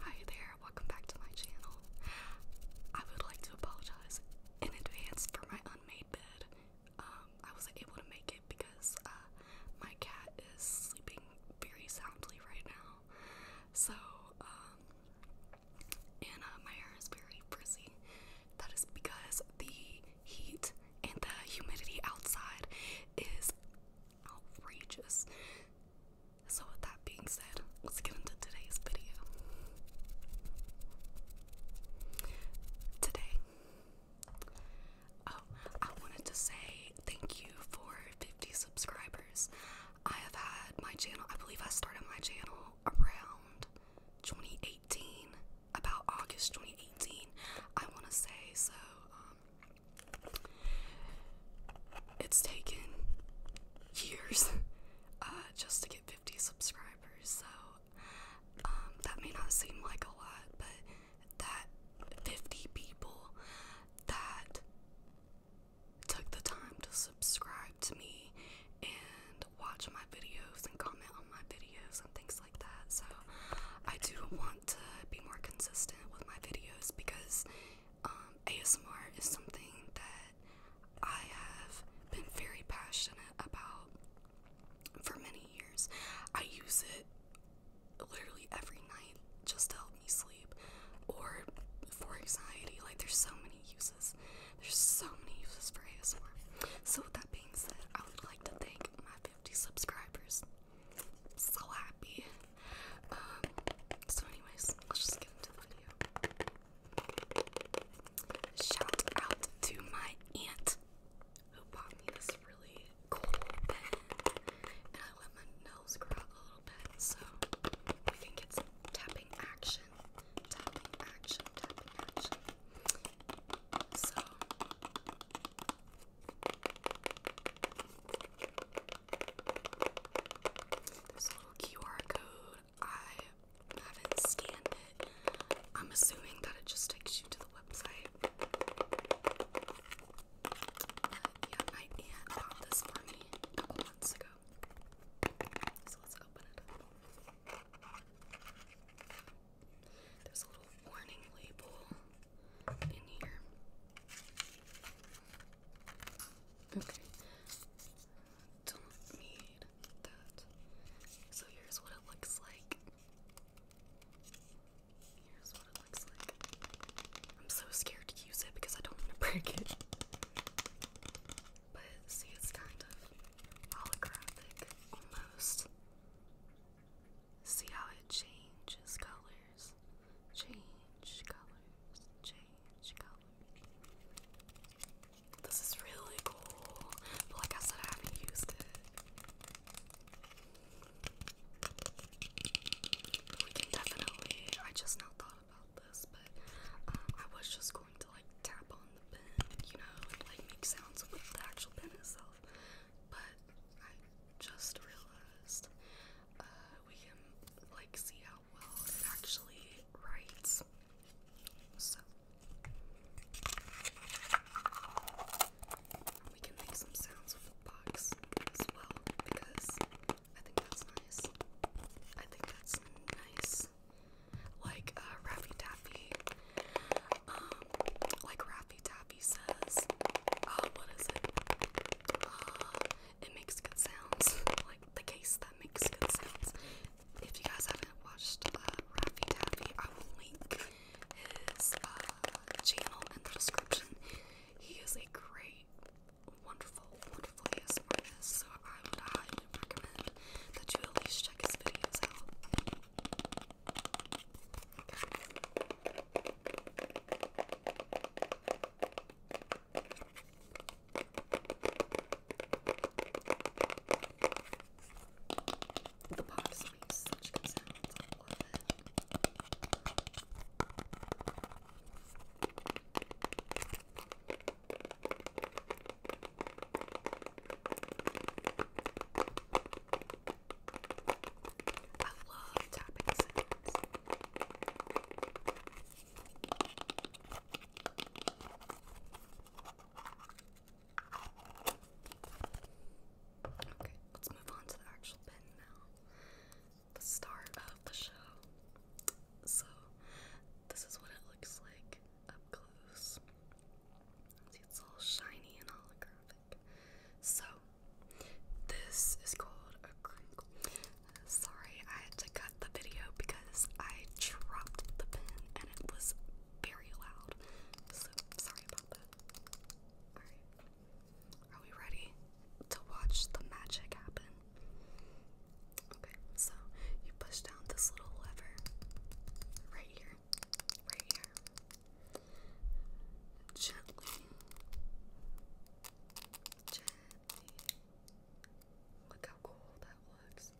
Hi there, welcome back to my channel. I would like to apologize in advance for my unmade bed. Um, I wasn't able to make it because uh, my cat is sleeping very soundly right now. So, um, and uh, my hair is very frizzy. That is because the heat and the humidity outside is outrageous. So, with that being said, let's get into today's video. Today, oh, I wanted to say thank you for 50 subscribers. I have had my channel, I believe I started my channel around 2018, about August 2018, I want to say. So, um, it's taken years uh, just to get 50 subscribers, so um, that may not seem like a lot, but that 50 people that took the time to subscribe to me and watch my videos and comment on my videos and things like that. So I do want to be more consistent with my videos because um, ASMR is something that I have been very passionate about for many years. I use it literally every night just to help me sleep or for anxiety. Like, there's so many uses. There's so many uses for ASMR. So, with that being said, I would like to thank my 50 subscribers so happy. Um, so, anyways, let's just get into the video. Shout out to my aunt who bought me this really cool pen, and I let my nose grow a little bit so we can get some tapping action, tapping action, tapping action. So there's a little QR code. I haven't scanned it. I'm assuming that it just takes you to the website. yeah, my aunt bought this for a couple months ago. So let's open it There's a little warning label in here. Okay. Don't need that. So here's what it looks like. Here's what it looks like. I'm so scared to use it because I don't want to break it. But see, it's kind of holographic almost. See how it changes colors. Change colors. Change colors. This is really cool. But like I said, I haven't used it. We can definitely. I just now thought about this, but um, I was just going to like tap on the pen, you know, like make sounds with the actual pen itself. But I just realized uh, we can like see how well it actually writes. So we can make some sounds with the box as well because I think that's nice. I think that's nice. Like uh, Raffy Daffy. Um like Raffy Taffy he says, uh, what is it? Uh, it makes good sounds. like the case that makes good sounds. If you guys haven't watched uh, Raffy Taffy, I will link his uh, channel in the description. He is a great, wonderful, wonderful artist, so I would highly recommend that you at least check his videos out. The box makes such good sounds. I love it. I I love tapping Okay, let's move on to the actual pen now. The start of the show. So, this is what it looks like up close. See, it's all shiny and holographic. So, this is called a crinkle. Sorry, I had to cut the video because I dropped the pen and it was very loud. So, sorry about that. Are we ready to watch the magic happen? Okay, so you push down this little lever right here, right here, gently, gently. Look how cool that looks.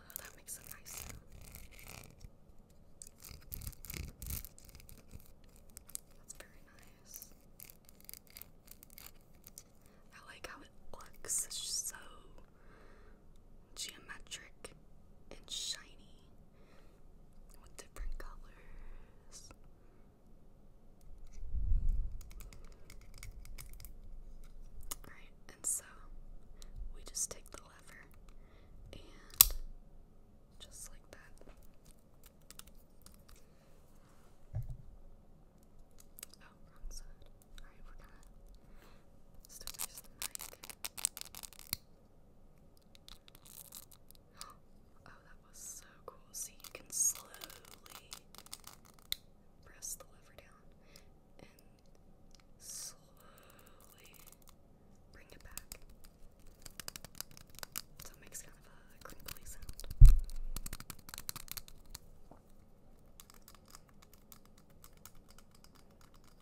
Oh, that makes a nice sound. That's very nice. I like how it looks. It's so geometric and shiny with different colors. Alright, and so we just take the lever and just like that. Oh, wrong side. Alright, we're gonna stick this in the mic. Oh, that was so cool. See, you can slowly press the lever down and slowly bring it back. it makes kind of a crinkly sound.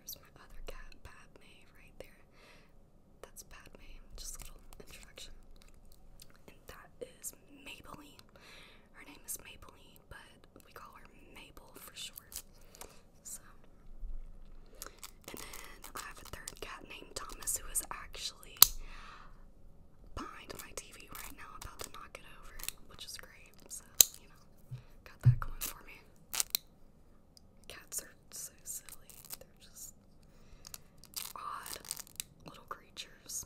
There's my other cat, Padme, right there. That's Padme, just a little introduction. And that is Maybelline. Her name is Maybelline, but we call her Mabel for short. So, and then I have a third cat named Thomas who is actually behind my TV right now, about to knock it over, which is great. So, you know, got that going for me. Cats are so silly. They're just odd little creatures.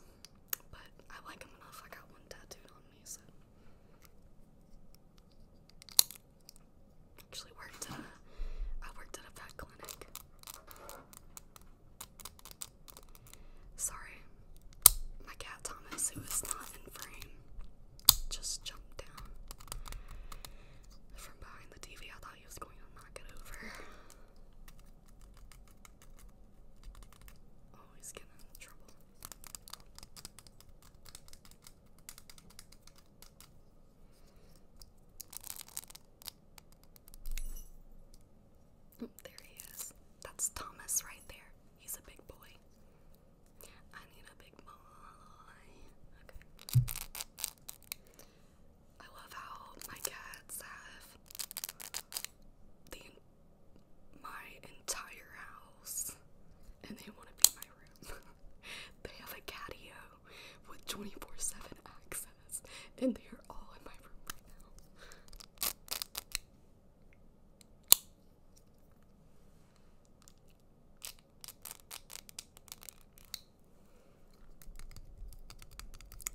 But I like them enough. I got one tattooed on me, so. Actually worked at worked at a vet clinic. Sorry, my cat Thomas, who is not in frame, just jumped down from behind the TV. I thought he was going to knock it over. Oh, getting in trouble. Oh, there he is. That's Thomas right there. He's a big boy. I need a big boy. Okay. I love how my cats have the my entire house and they want to be my room. they have a catio with 24 7 access and they are all in my room right now.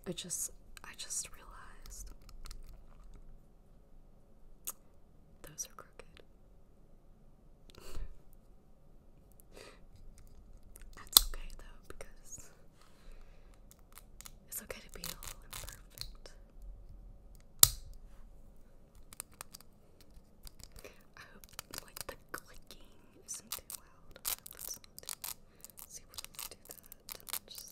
I just I just realized those are crooked. That's okay though, because it's okay to be all imperfect. I hope like the clicking isn't too loud. Let's see what if we that.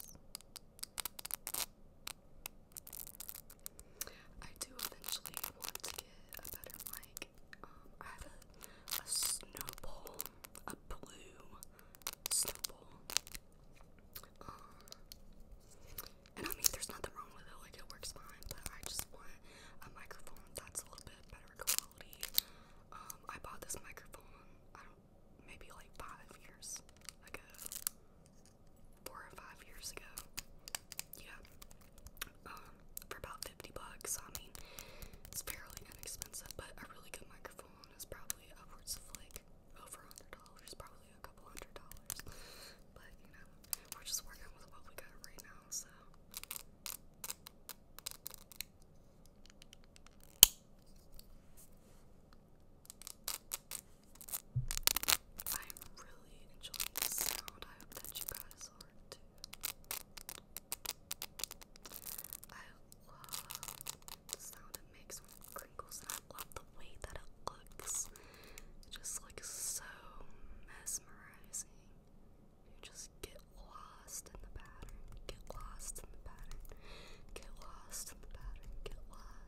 I do eventually want to get a better mic. Um, I have a, a snowball, a blue snowball. Um, and I mean, there's nothing wrong with it, like, it works fine, but I just want a microphone that's a little bit better quality. Um, I bought this microphone, maybe like five years ago, four or five years ago. Yeah, um, for about fifty bucks. I mean, it's fairly inexpensive, but a really good microphone is probably upwards of like over a hundred dollars, probably a couple hundred dollars. But you know, we're just working with what we got right now, so. I'm really enjoying the sound. I hope that you guys are too. I love the sound it makes when it crinkles, and I love the way that it looks. It just looks so mesmerizing. You just get lost in the pattern, get lost in the pattern, get lost in the pattern, get lost.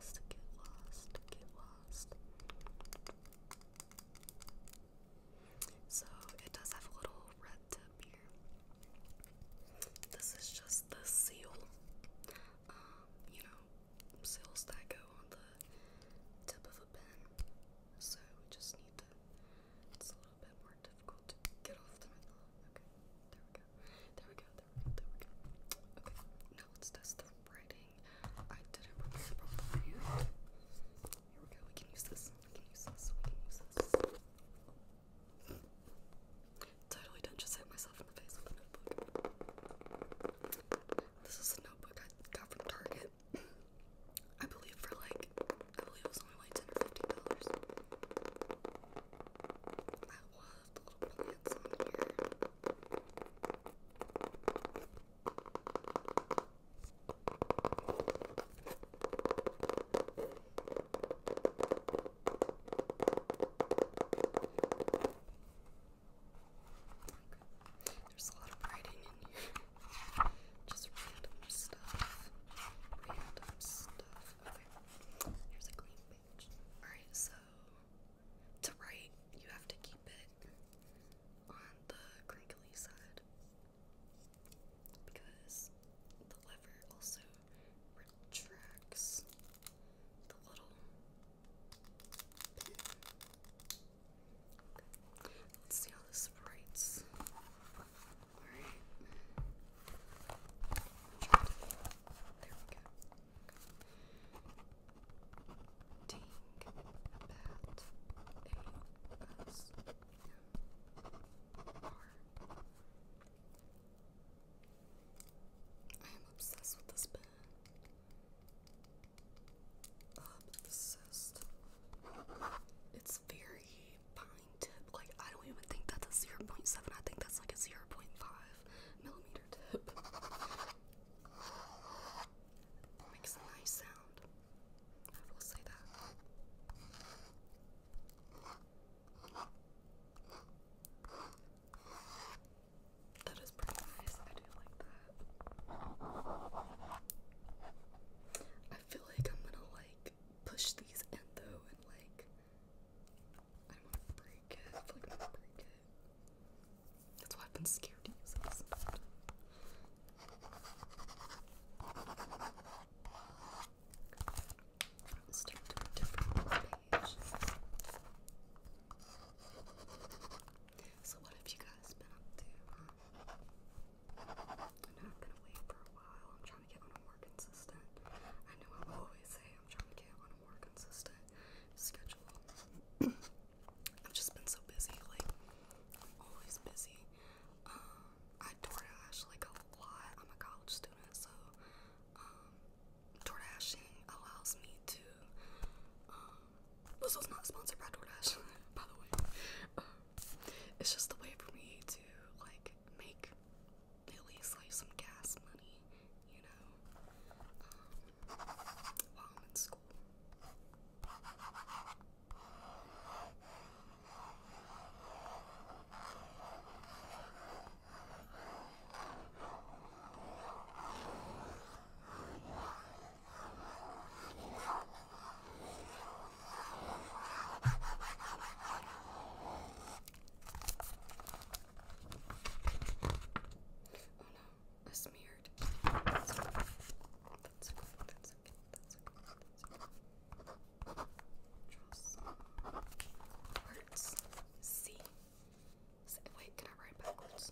So it does have a little red tip here. This is just the seal, um, you know, seals that go on the tip of a pen. So we just need to. It's a little bit more difficult to get off the middle. Okay, there we go. There we go. There we go. There we go. Okay. Now let's test the writing. I didn't prepare properly. Here we go. We can use this. We can use this. We can use this. Totally don't just hit myself in the face with a notebook. This is a notebook I got from Target. I believe for like, I believe it was only like ten or fifteen dollars. There's a lot of writing in here. Just random stuff. Random stuff. Here's a clean Alright, so to write, you have to keep it on the crinkly side because the lever also retracts the little pin. Let's see how this writes. Alright. There we go think about ASMR. am obsessed with this pen. Obsessed. It's very fine tip. Like I don't even think that's a 0.7. I think that's like a 0.5 millimeter fingertip. Makes a nice sound. I will say that. That is pretty nice. I do like that. I feel like I'm gonna like push these in though and like I don't to break it. I am gonna break it. That's why I've been scared to use this. I'll stick to a different page. So what have you guys been up to? I'm not gonna wait for a while. I'm trying to get one more consistent. I know I always say I'm trying to get on more consistent schedule. I've just been so busy, like always busy. Um, I DoorDash like a lot. I'm a college student, so um, allows me to. Um, this was not sponsored by DoorDash, by the way. Um, it's just the way for me to like make at least like some gas money, you know, um, while I'm in school. Oh no, I smeared. That's okay. That's okay. That's okay. That's okay. That's okay. Draw some words. C. C. Wait, can I write backwards?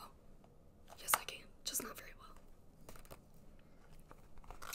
Oh, yes, I can. Just not very well. Okay.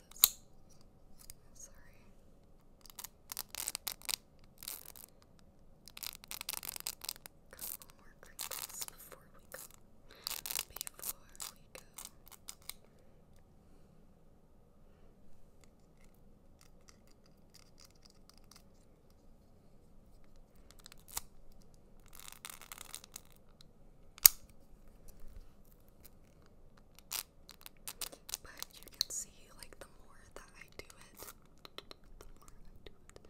this? Sorry. Couple more crinkles before we go. Before we go. But you can see, like, the more that I do it, the more I do it.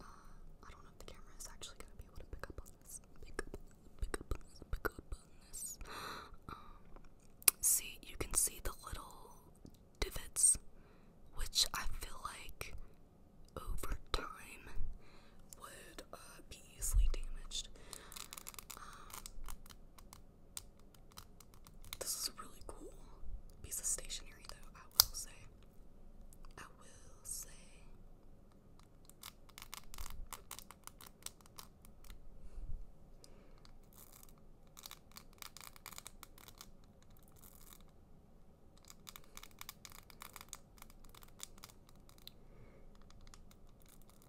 Uh, I don't know if the camera is actually gonna be able to pick up on this. Pick up, on this, um, see, you can see the little divots, which I feel like over time would be uh, fucking easily damaged. Um, this is a really cool piece of stationery, though, I will say. I will say i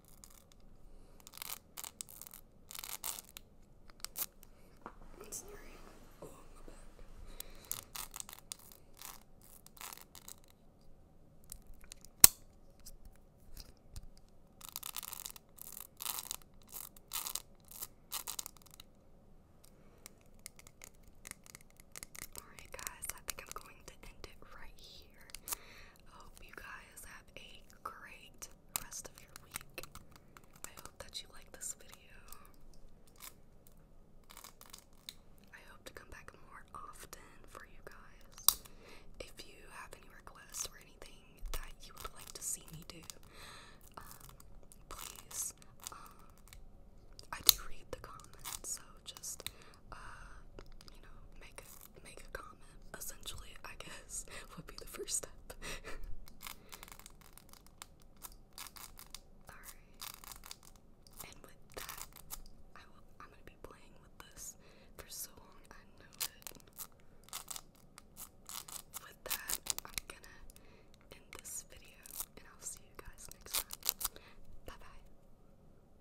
Alright, guys, I think I'm going to end it right here. I hope you guys have a great rest of your week. I hope that you like this video. I hope to come back more often for you guys. If you have any requests or anything that you would like to see me do, um, please. Um, I do read the comments, so just uh, you know, make make a comment. Essentially, I guess would be the first step. Alright. And with that, I will I'm gonna be playing with this for so long, I know it. With that, I'm gonna end this video and I'll see you guys next time. Bye bye.